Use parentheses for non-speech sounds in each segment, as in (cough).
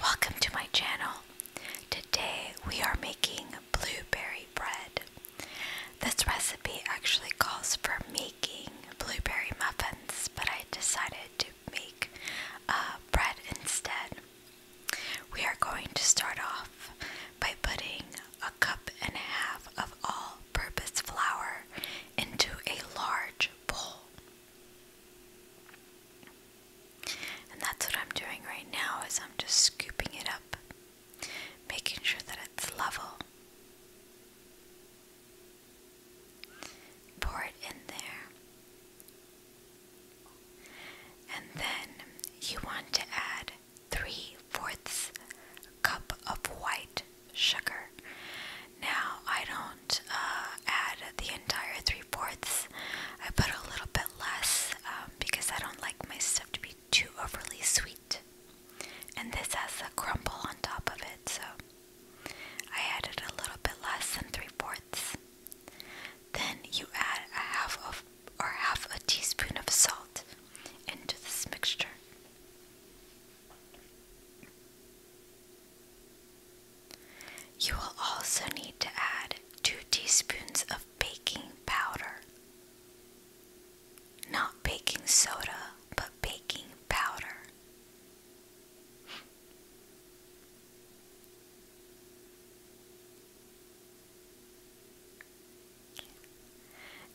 Welcome to my channel. Today we are making blueberry bread. This recipe actually calls for making blueberry muffins, but I decided to make uh, bread instead. We are going to start off by putting a cup and a half of all purpose flour into a large bowl. And that's what I'm doing right now is I'm just scooping it up, making sure that it's level. Pour it in there. And then you want to add three fourths cup of white sugar. Now I don't uh, add the entire three fourths. I put a little bit less um, because I don't like my stuff to be too overly sweet. And this has a crumble on top of it, so I added a little bit less than three fourths. Then you add a half of or half a teaspoon of salt into this mixture. You will also need to add 2 teaspoons of baking powder. Not baking soda, but baking powder.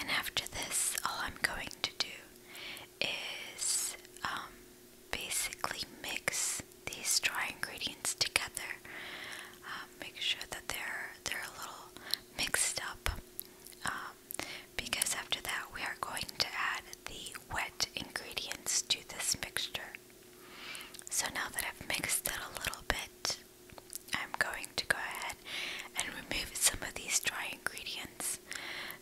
And after this, all I'm going to do is um, basically mix these dry ingredients together. Um, make sure that they're they're a little mixed up, um, because after that we are going to add the wet ingredients to this mixture. So now that I've mixed it a little bit, I'm going to go ahead and remove some of these dry ingredients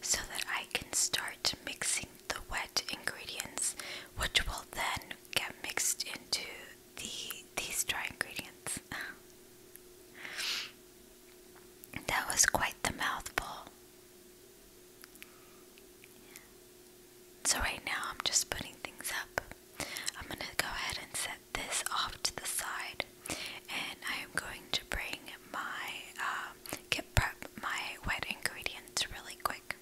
so that I can start mixing the wet ingredients, which will then get mixed into the these dry ingredients. (laughs) that was quite the mouthful. So right now I'm just putting things up. I'm going to go ahead and set this off to the side and I am going to bring my uh, get prep my wet ingredients really quick.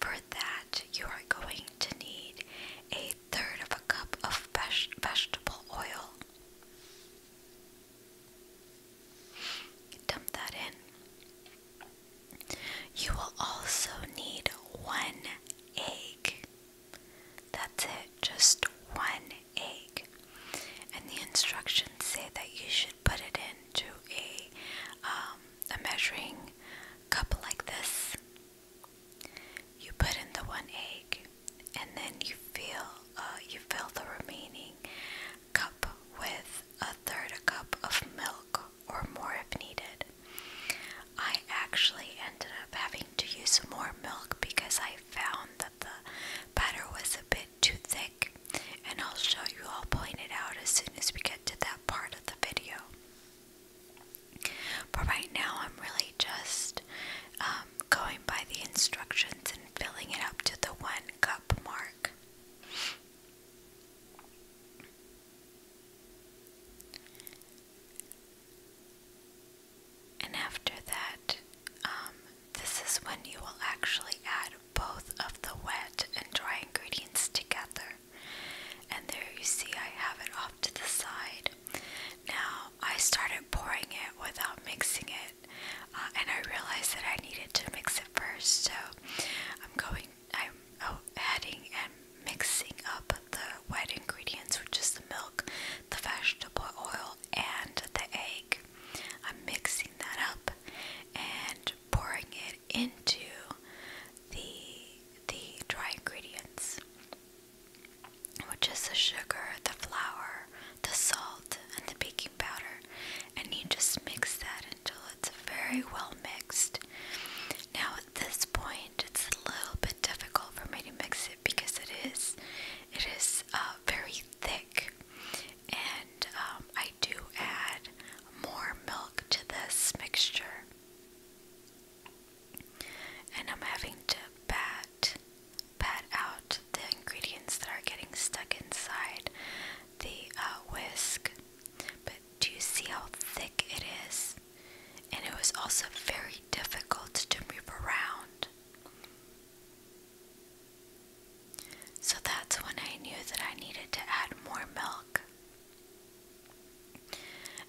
For that, you are going to need a third of a cup of veg vegetable oil. Dump that in. You will also need one egg. That's it, just one egg and the instructions say that you should put it into um, a measuring cup like this. You put in the one egg, and then you fill uh, you fill the remaining cup with a third a cup of milk or more if needed. I actually ended up having to use more milk because I found that the batter was a bit too thick, and I'll show you all pointing it out as soon as we get to that part of the video. But right now, I'm really just um, going by the instructions and filling it up to the one cup mark. And after that, um, this is when you will actually add both of the wet and dry ingredients together. And there you see I have it off to the side. Now I started pouring it without mixing it uh, and I realized that I needed to mix it first. So I'm going, I'm oh, adding and mixing up the wet ingredients, which is the milk, the vegetable oil, and the egg. I'm mixing that up and pouring it into the the dry ingredients, which is the sugar, the flour, the salt, and the baking powder, and you just mix that until it's very well mixed. Now at this point, it's a little bit difficult for me to mix it because it is it is uh, very thick, and um, I do add more milk to this mixture. And I'm having to pat, pat out the ingredients that are getting stuck inside the uh, whisk. But do you see how thick it is? And it was also very difficult to move around. So that's when I knew that I needed to add more milk.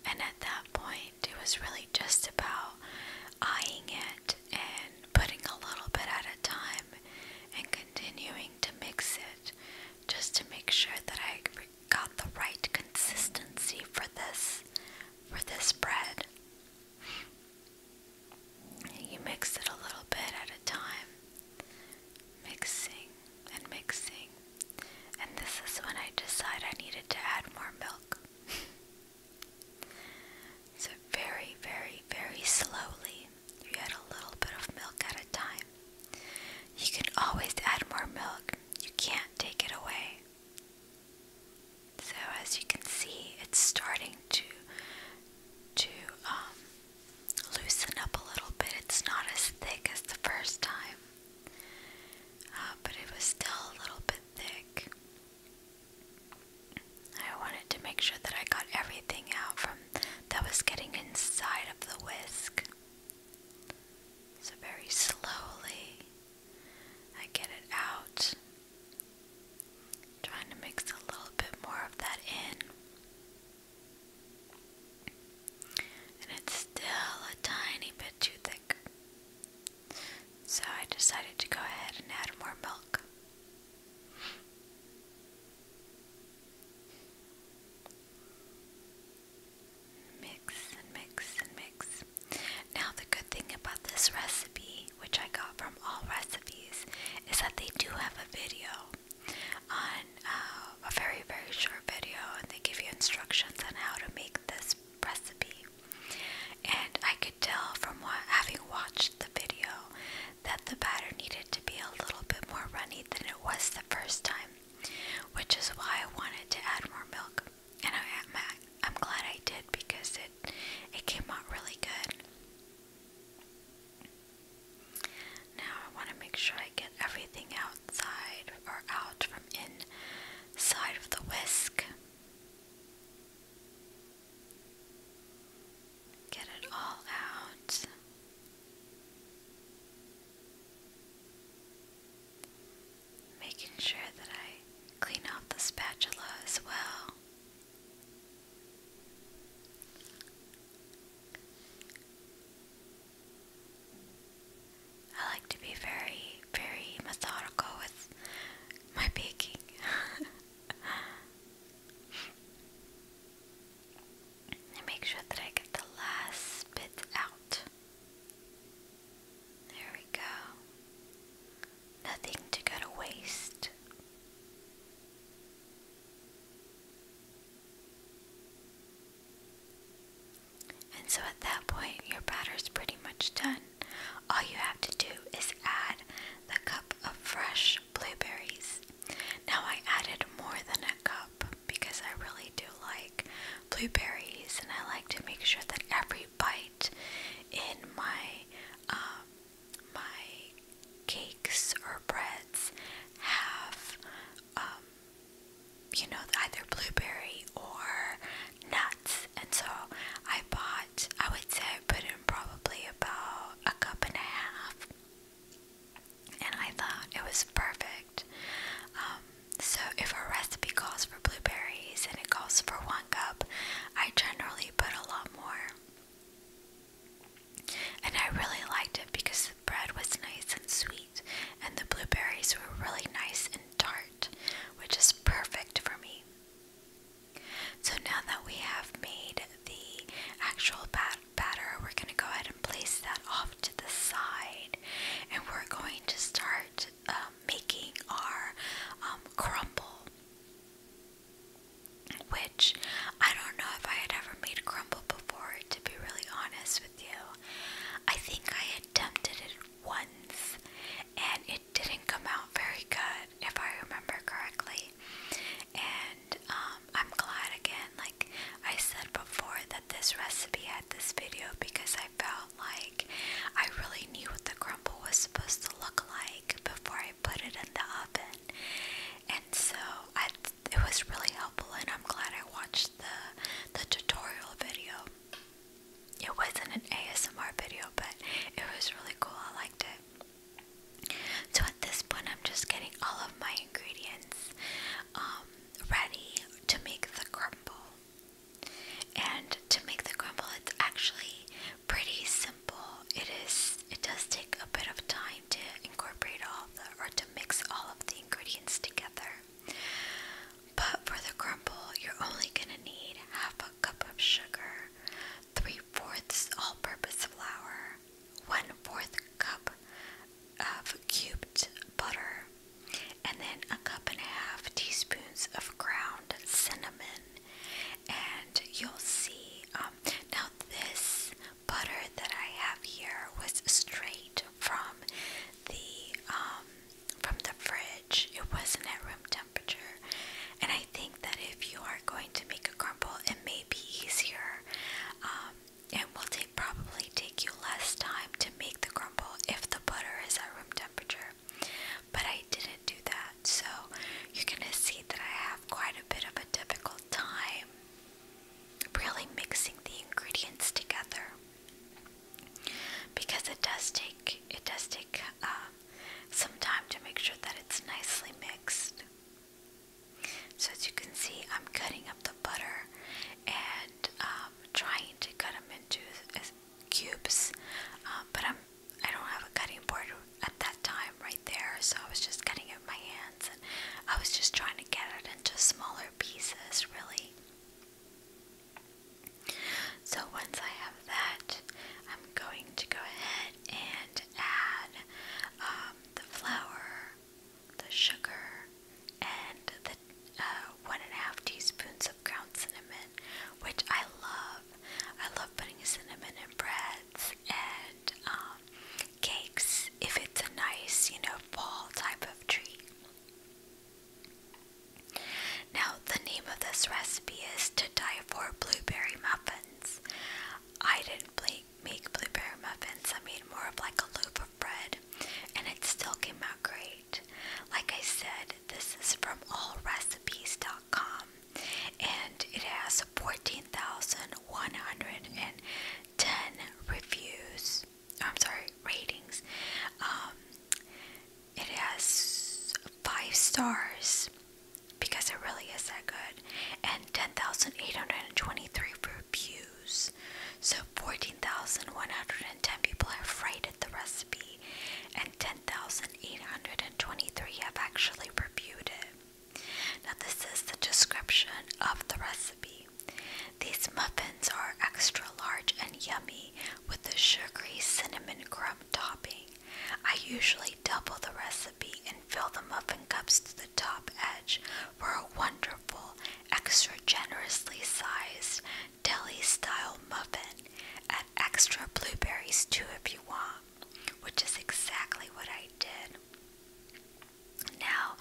And at that point, it was really just about eyeing it and putting a little bit at a time and continuing to mix it just to make sure that I got the right consistency for this for this bread. You mix it a little bit at a time, mixing and mixing. And this is when I decide I needed to add more milk. (laughs) so, very, very, very slowly, you add a little bit of milk at a time. You can always add more milk, you can't take it away. So, as you can see, it's starting to to um, loosen up a little bit. It's not as thick as the first time, uh, but it was still a little bit thick. I wanted to make sure that I got everything out from that was getting inside of the whisk. So, very slowly, I get it out. Trying to mix a little bit more of that in. And it's still a tiny bit too thick. So I decided to go ahead and add more milk. Mix and mix and mix. Now, the good thing about this recipe which I got from all recipes, is that they do have a video on uh, a very, very short video, and they give you instructions on how to make this recipe. And I could tell from having watched the video that the batter needed to be a little bit more runny than it was the first time, which is why I wanted to add more milk. And I, I'm glad I did because it it came out really good. Now I want to make sure I get everything outside or out from inside of the whisk. Get it all out. Making sure that I clean off the spatula as well. I like to be very, very methodical with my baking. and (laughs) make sure that I get the last bit out. There we go nothing to go to waste. And so at that point, your batter's pretty much done. All you have to do is add the cup of fresh blueberries. Now, I added more than a cup because I really do like blueberries and I like to make sure that every bite in my um, my cakes or breads have, um, you know, either blueberry or nuts. And so I bought, I would say I put in probably about a cup and a half. And I thought it was perfect. Um, so if a recipe calls for blueberries and it calls for one cup, I generally put a lot more. And I really liked it because the bread was nice and sweet, and the blueberries were really nice and tart, which is perfect for me. So now that we have made the actual batter, we're going to go ahead and place that off to the side, and we're going to start um, making our um, crumble. Which I don't know if I had ever made crumble before, to be really honest with you. I think I attempted it once and it didn't come out very good, if I remember correctly. And um, I'm glad again, like I said before, that this recipe had this video because I felt like I really knew what the crumble was supposed to look like before I put it in the oven. And so it was really helpful, and I'm glad I watched the the tutorial video. It wasn't an ASMR video, but it was really cool. I liked it. So at this point, I'm just getting all of my ingredients um, ready to make the crumble. And to make the crumble, it's actually pretty simple. It is. It does take a bit of time to incorporate all the, or to mix all of the ingredients together. But for the crumble, you're only gonna need half a cup of sugar, three fourths all-purpose flour, one fourth cup of cubed butter, and then a cup and a half teaspoons of ground cinnamon and you'll see. Um, now, this butter that I have here was straight from the um, from the fridge. It wasn't at room temperature, and I think that if you are going to make a crumble, it may be easier. Um, and it will take, probably take you less time to make the crumble if the butter is at room temperature but I didn't do that, so you're gonna see that I have quite a bit of a difficult time really mixing the ingredients together because it does take it does take um, some time to make sure that it's nicely mixed. So as you can see, I'm cutting up the butter and um, trying to cut them into uh, cubes, uh, but I'm I don't have a cutting board at that time right there, so I was just cutting it with my hands and I was just trying to get it into smaller pieces, really. So once I have that, I'm going to go ahead and add um, the flour, the sugar, and the uh, one and a half teaspoons of ground cinnamon which I love. I love putting cinnamon in breads and um, cakes if it's a nice, you know, fall type of treat. Now, the name of this recipe is To Die For Blueberry Muffins. I didn't make blueberry muffins, I made more of like a loaf of bread, and it still came out great. Like I said, this is from allrecipes.com and it has 14,110 reviews. I'm sorry, ratings. Um, it has five stars because it really is that good, and 10,823 reviews. So 14,110 people have rated the recipe, and 10 Thousand eight hundred and twenty-three have actually reviewed it. Now, this is the description of the recipe. These muffins are extra large and yummy with the sugary cinnamon crumb topping. I usually double the recipe and fill the muffin cups to the top edge for a wonderful, extra generously sized deli style muffin. Add extra blueberries too if you want, which is exactly what I did. Now,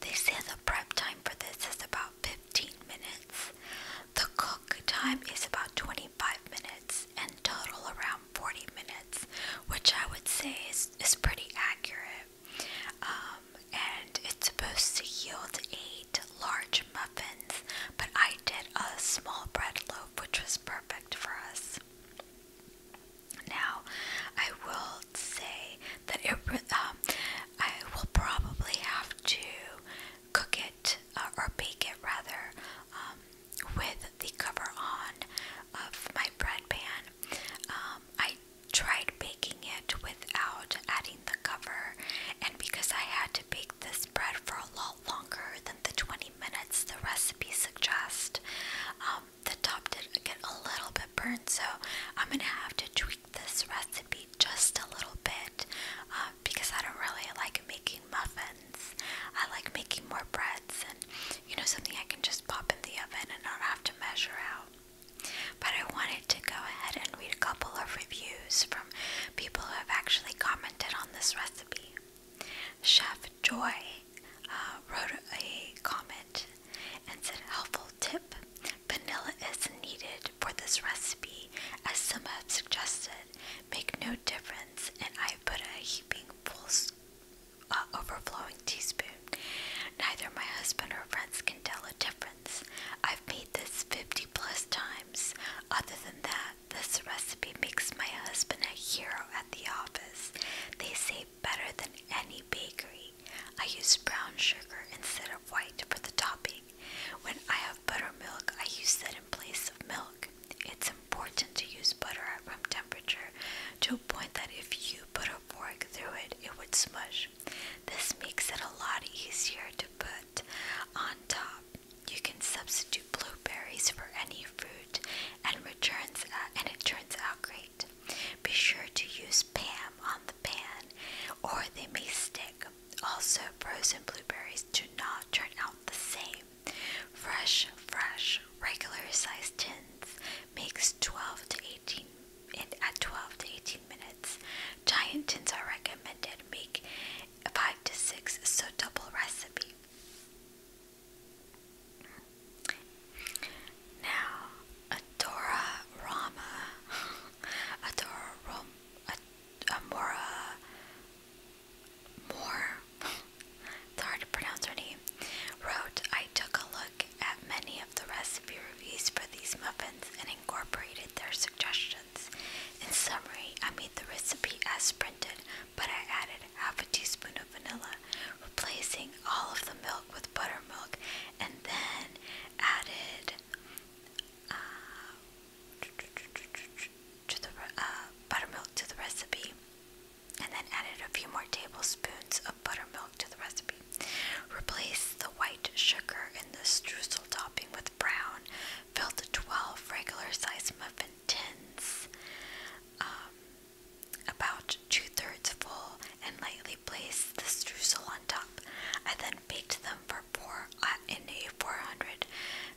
they say the prep time for this is about 15 minutes. The cook time is about 25 minutes and total around 40 minutes, which I would say is, is pretty accurate. Um, and it's supposed to yield eight large muffins, but I did a small bread loaf, which was perfect for us. Now, I will say that it, um, I will probably have to cook it uh, or bake it rather um, with the cover on of my bread pan. Um, I tried baking it without adding the cover, and because I had to bake this bread for a long longer than the 20 minutes the recipe suggests. Um, the top did get a little bit burnt, so I'm gonna have to tweak this recipe just a little bit um, because I don't really like making muffins. I like making more breads and you know something I can just pop in the oven and not have to measure out. But I wanted to go ahead and read a couple of reviews from people who have actually commented on this recipe. Chef Joy uh, wrote a comment and said, helpful tip. Vanilla is needed for this recipe as some have suggested. Make no difference and I put a heaping full uh, overflowing teaspoon. Neither my husband or friends can tell a difference. I've made this 50 plus times. Other than that, this recipe makes my husband a hero at the office. They say better than any bakery. I use brown sugar instead of white for the topping. When I have buttermilk, I use that in place of milk. It's important to use butter at room temperature to a point that if you put a fork through it, it would smush. This makes it a lot easier to put on top. You can substitute blueberries for any fruit and returns uh, and it turns out great. Be sure to use Pam on the pan or they may stick. Also, frozen blueberries do not turn out the same. Fresh, fresh, regular size tins makes 12 to 18 in, at 12 to 18 minutes. Giant tins are recommended. Make 5 to 6 so double recipe. Now, Adora Rama, Adora Rom, Amora, Moore, it's hard to pronounce her name, wrote, I took a look at many of the recipe reviews for these muffins and incorporated their suggestions. In summary, I made the recipe as printed, but I added half a teaspoon of vanilla, replacing all of the milk with buttermilk, and then added uh, to the uh, buttermilk to the recipe, and then added a few more tablespoons of buttermilk to the recipe. Replace the white sugar in the streusel topping with brown filled 12 regular size muffin tins, um, about two thirds full, and lightly placed the streusel on top. I then baked them for four uh, in a 400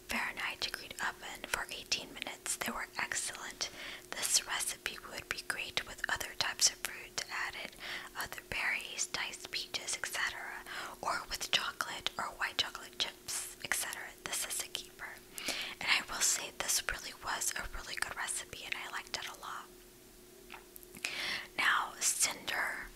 Fahrenheit degree oven for 18 minutes. They were excellent. This recipe would be great with other types of fruit to add it, other berries, diced peaches, etc., or with chocolate or white chocolate chips etc. This is a keeper. And I will say this really was a really good recipe and I liked it a lot. Now, Cinder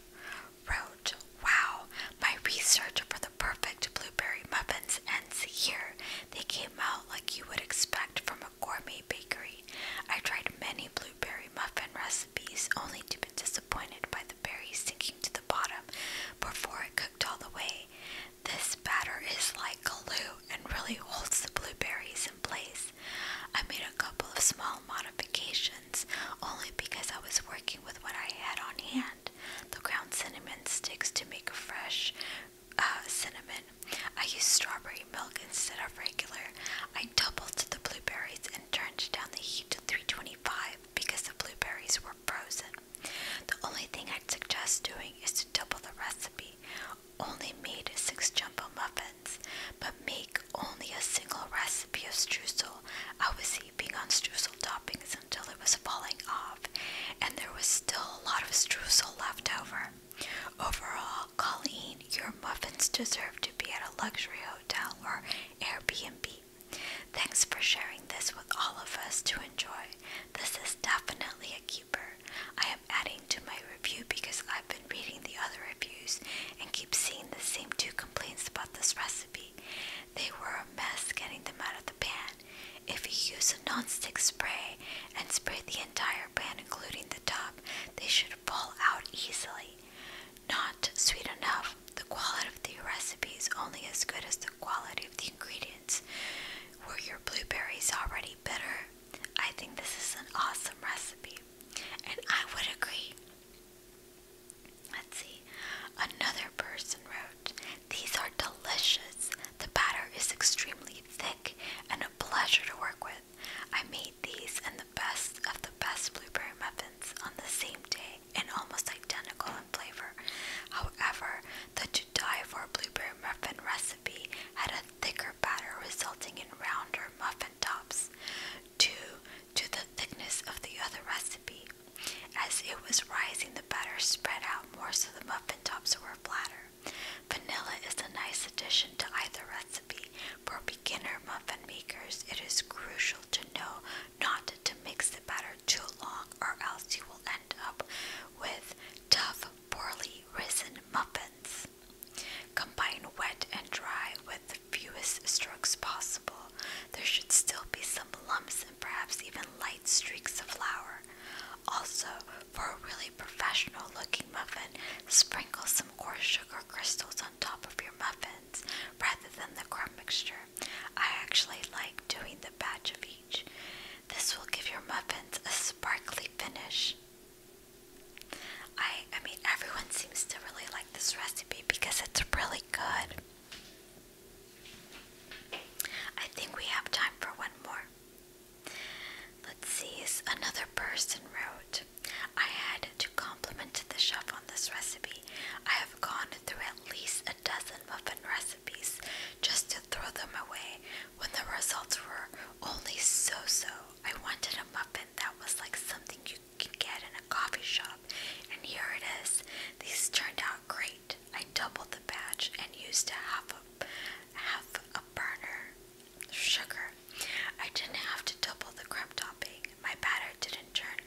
wrote, Wow, my research for the perfect blueberry muffins ends here. They came out like you would expect from a gourmet bakery. I tried many blueberry muffin recipes only to be disappointed by the." berries sinking to the bottom before it cooked all the way. This batter is like glue and really holds the blueberries in place. I made a couple of small modifications only because I was working with what I had on hand. The ground cinnamon sticks to make fresh uh, cinnamon. I used strawberry milk instead of regular. I doubled the blueberries and turned down the heat to 325 because the blueberries were frozen. The only thing I'd suggest doing is to double the recipe. Only made six jumbo muffins, but make only a single recipe of streusel. I was heaping on streusel toppings until it was falling off, and there was still a lot of streusel left over. Overall, Colleen, your muffins deserve to be at a luxury hotel or Airbnb Thanks for sharing this with all of us to enjoy. This is definitely a keeper. I am adding to my review because I've been reading the other reviews and keep seeing the same two complaints about this recipe. They were a mess getting them out of the pan. If you use a non-stick spray and spray the entire pan including the top, they should fall out easily. Not sweet enough, the quality of the recipe is only as good as the quality of the ingredients. Were your blueberries already bitter? I think this is an awesome recipe, and I would agree. Let's see. Another person wrote, These are delicious. The batter is extremely thick and a pleasure to work with. I made these and the best of the best blueberry muffins on the same day and almost identical in flavor. However, the to die for blueberry muffin recipe had a thicker batter resulting in rounder muffin tops, due to the thickness of the other recipe. As it was rising, the batter spread out more so the muffin tops were flatter. Vanilla is a nice addition to either recipe. For beginner muffin makers, it is crucial to know not to mix the batter too long or else you will end up with tough, poorly risen muffins. Combine wet and dry with the fewest strokes possible. There should still be some lumps and perhaps even light streaks of flour. Also, for a really professional looking muffin, sprinkle some coarse sugar crystals on top of your muffins rather than the crumb mixture. I actually like doing the batch of each. This will give your muffins a sparkly finish. I I mean everyone seems to really like this recipe because it's really good. I think we have time for one more. Let's see, another person wrote, I had to compliment the chef on this recipe. I have i gone through at least a dozen muffin recipes just to throw them away when the results were only so so. I wanted a muffin that was like something you can get in a coffee shop, and here it is. These turned out great. I doubled the batch and used a half a, half a burner sugar. I didn't have to double the crumb topping. My batter didn't turn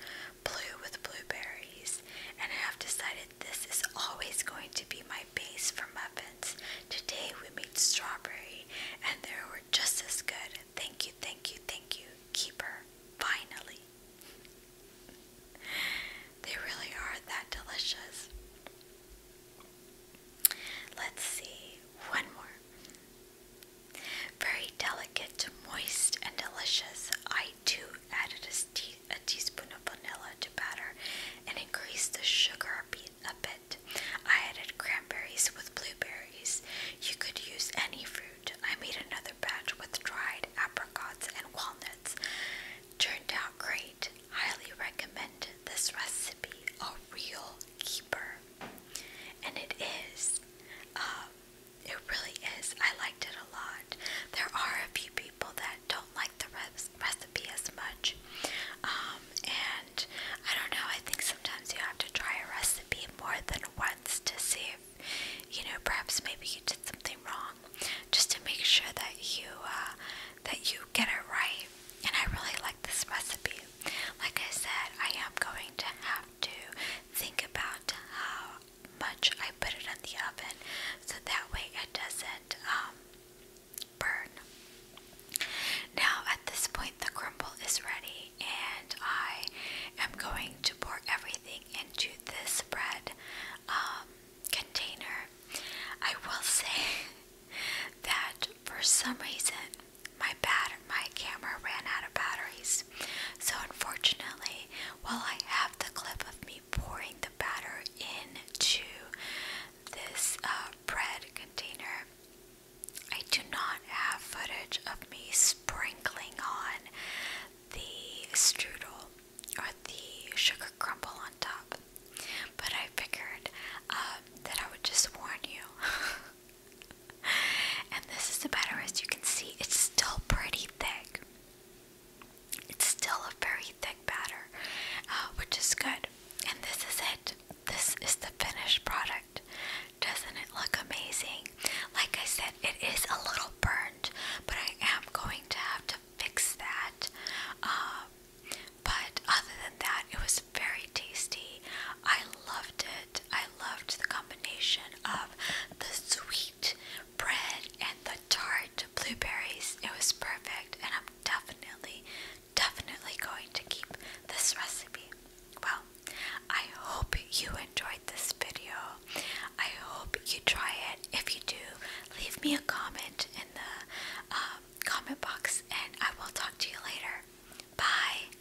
blue with blueberries, and I have decided this is always going to be my base for muffins. Today we made strawberry, and they were just as good. Thank you, thank you, thank you, Keeper. Finally. (laughs) They really are that delicious. Let's see, one more. Very delicate, moist, and delicious. I too added a, teaspoon of vanilla to batter and increased the sugar a bit, a bit. I added cranberries with blueberries. You could use any fruit. I made another batch with dried apricots and walnuts. Turned out great. Highly recommend this recipe. A real keeper. And it is. Uh, it really is. I liked it a lot. There are a few people that don't like the recipe as much. Um, and I don't know, I think sometimes you have to try a recipe more than once to see if, you know, perhaps maybe you did something wrong just to make sure that you, uh, that you get it right. And I really like this recipe. Like I said, I am going to have to think about how much I put it in the oven so that way it doesn't um, burn. Now at this point the crumble is ready and I am going to pour everything into this bread um, container. I will (laughs) say that for some reason my batter my camera ran out of batteries. So unfortunately, while I have the clip of me pouring the batter into this uh, bread container, I do not have footage of me sprinkling on the strudel or the sugar crumble on top. But I figured uh, that I would just warn you (laughs) (laughs) and this is the batter. as you can see, it's still pretty thick. It's still a very thick batter, uh, which is good. And this is it. This is the finished product. Doesn't it look amazing? Like I said, it is a little burnt, but I am going to have to fix that. Um, but other than that, it was very tasty. I loved it. I loved the combination of the sweet bread and the tart blueberries. It was perfect, and I'm definitely, definitely going to keep this recipe. Well, I hope you enjoyed this video. I hope you try it. If you do, leave me a comment in the um, comment box, and I will talk to you later. Bye.